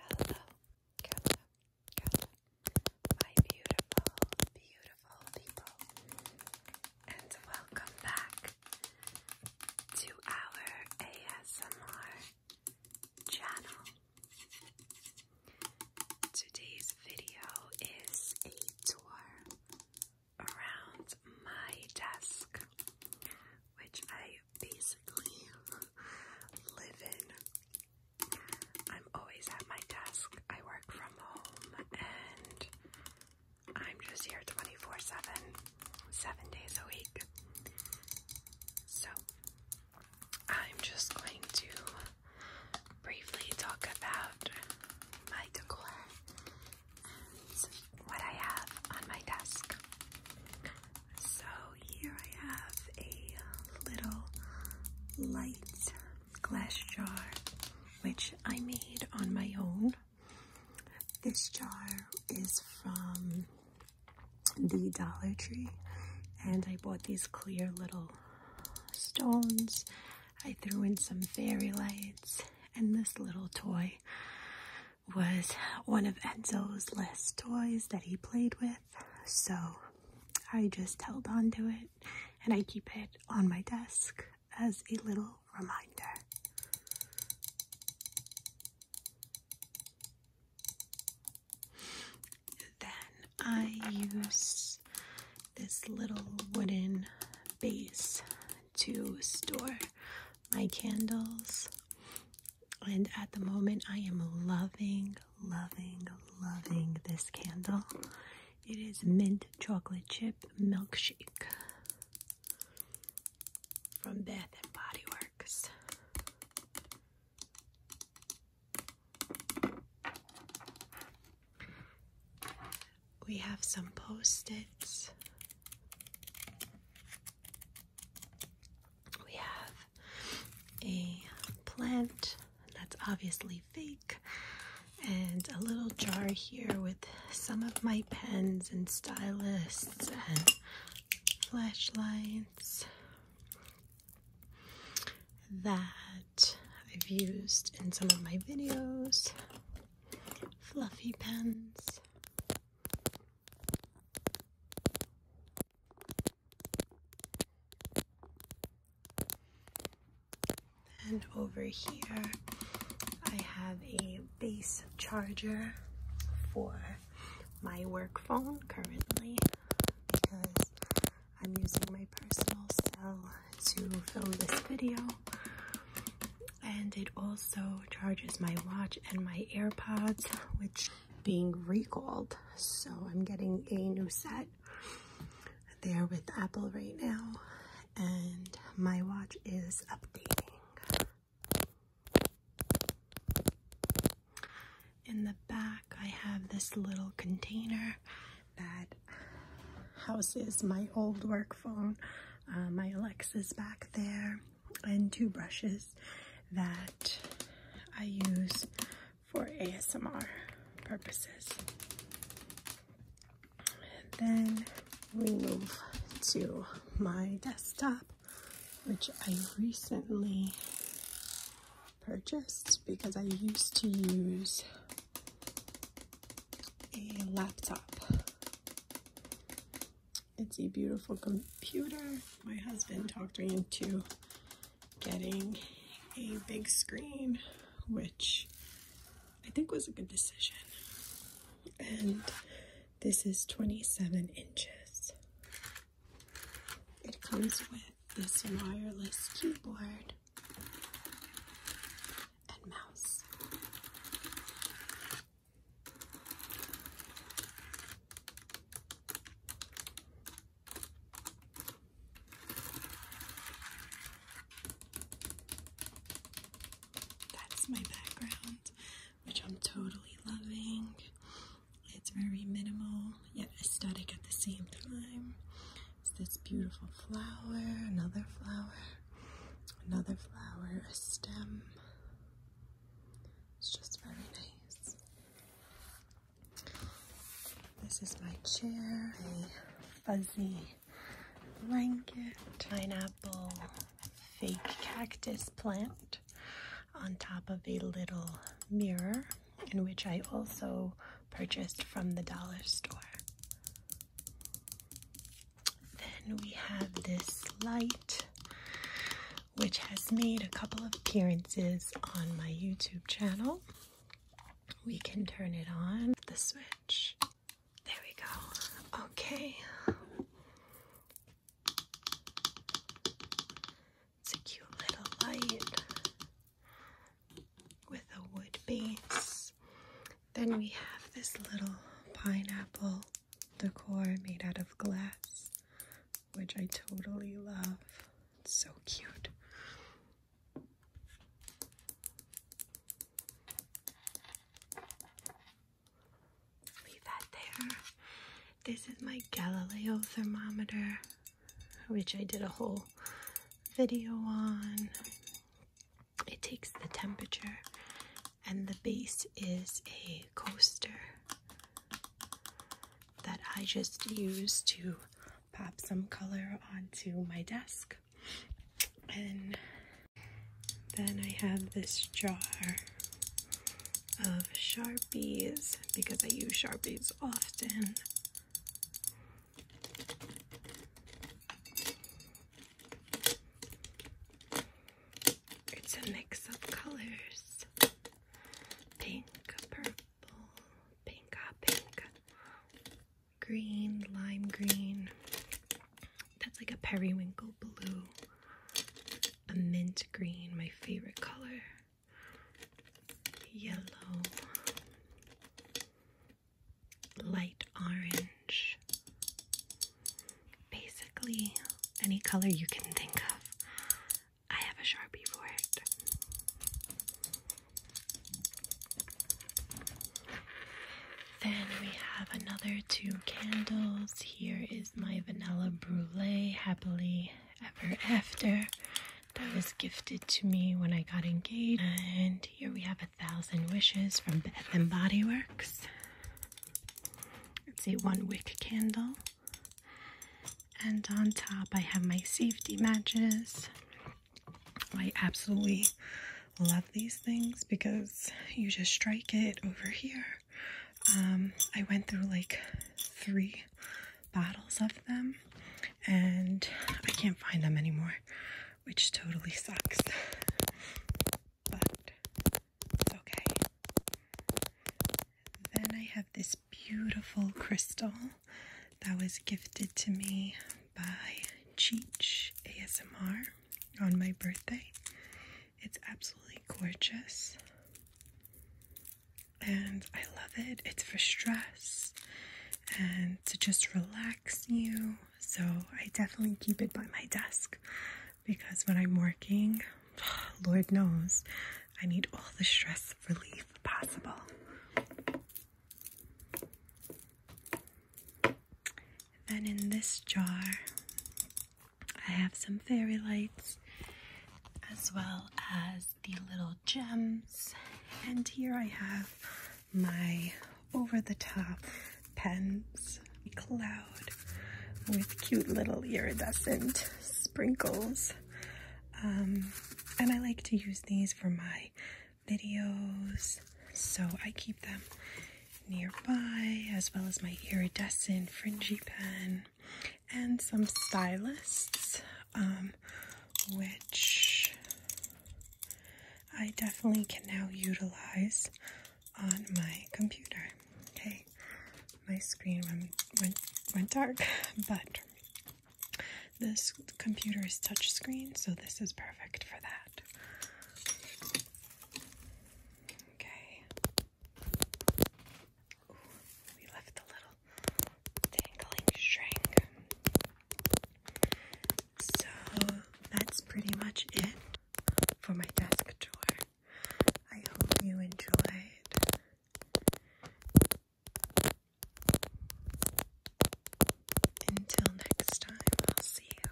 Hello, Carla, Carla, my beautiful, beautiful people, and welcome back to our ASMR channel. Today's video is a tour around my desk, which I basically live in. I'm always at my desk, I work from home, and I'm just here 24 7, 7 days a week. So, I'm just going to briefly talk about my decor and what I have on my desk. So here I have a little light glass jar which I made on my own. This jar is from the Dollar Tree and I bought these clear little stones. I threw in some fairy lights and this little toy was one of Enzo's last toys that he played with. So I just held on to it and I keep it on my desk as a little reminder. Then I use this little wooden base to store my candles. And at the moment, I am loving, loving, loving this candle. It is mint chocolate chip milkshake from Bath and Body Works. We have some post-its. We have a plant that's obviously fake and a little jar here with some of my pens and stylists and flashlights that I've used in some of my videos. Fluffy pens. And over here, I have a base charger for my work phone currently because I'm using my personal cell to film this video. And it also charges my watch and my AirPods, which being recalled. So I'm getting a new set. They're with Apple right now. And my watch is updating. In the back, I have this little container that houses my old work phone. Uh, my Alexa's back there, and two brushes that I use for ASMR purposes. And then we move to my desktop which I recently purchased because I used to use a laptop. It's a beautiful computer. My husband talked me into getting a big screen, which I think was a good decision. And this is 27 inches. It comes with this wireless keyboard and mouse. That's my background, which I'm totally loving. It's very minimal yet aesthetic at the same time. It's this beautiful flower, another flower, another flower, a stem. It's just very nice. This is my chair, a fuzzy blanket, pineapple, fake cactus plant on top of a little mirror, in which I also purchased from the dollar store. Then we have this light, which has made a couple of appearances on my YouTube channel. We can turn it on, the switch. There we go. Okay. It's a cute little light with a wood base. Then we have this little pineapple decor made out of glass, which I totally love. so cute. Leave that there. This is my Galileo thermometer, which I did a whole video on. It takes the temperature, and the base is a coaster that I just use to pop some color onto my desk. And then I have this jar of Sharpies because I use Sharpies often. It's a mix of colors pink, purple, pink, ah, pink, green, lime green. That's like a periwinkle blue, a mint green, my favorite color yellow, light orange, basically any color you can think of. I have a Sharpie for it. Then we have another two candles. Here is my vanilla brulee happily ever after that was gifted to me when I got engaged. And here we have a thousand wishes from Bath and Body Works. It's a one wick candle. And on top, I have my safety matches. I absolutely love these things because you just strike it over here um, I went through like three bottles of them and I can't find them anymore, which totally sucks. but it's okay. Then I have this beautiful crystal that was gifted to me by Cheech ASMR on my birthday. It's absolutely gorgeous and I love it. It's for stress and to just relax you. So I definitely keep it by my desk because when I'm working, Lord knows, I need all the stress relief possible. Then in this jar, I have some fairy lights as well as the little gems. And here I have my over the top pens cloud with cute little iridescent sprinkles. Um, and I like to use these for my videos, so I keep them nearby, as well as my iridescent fringy pen and some stylists, um, which I definitely can now utilize on my computer. Okay, my screen went went, dark, but this computer is touchscreen, so this is perfect for that. Okay. we left a little dangling string. So that's pretty much it for my desk drawer. I hope you enjoyed. Until next time, I'll see you.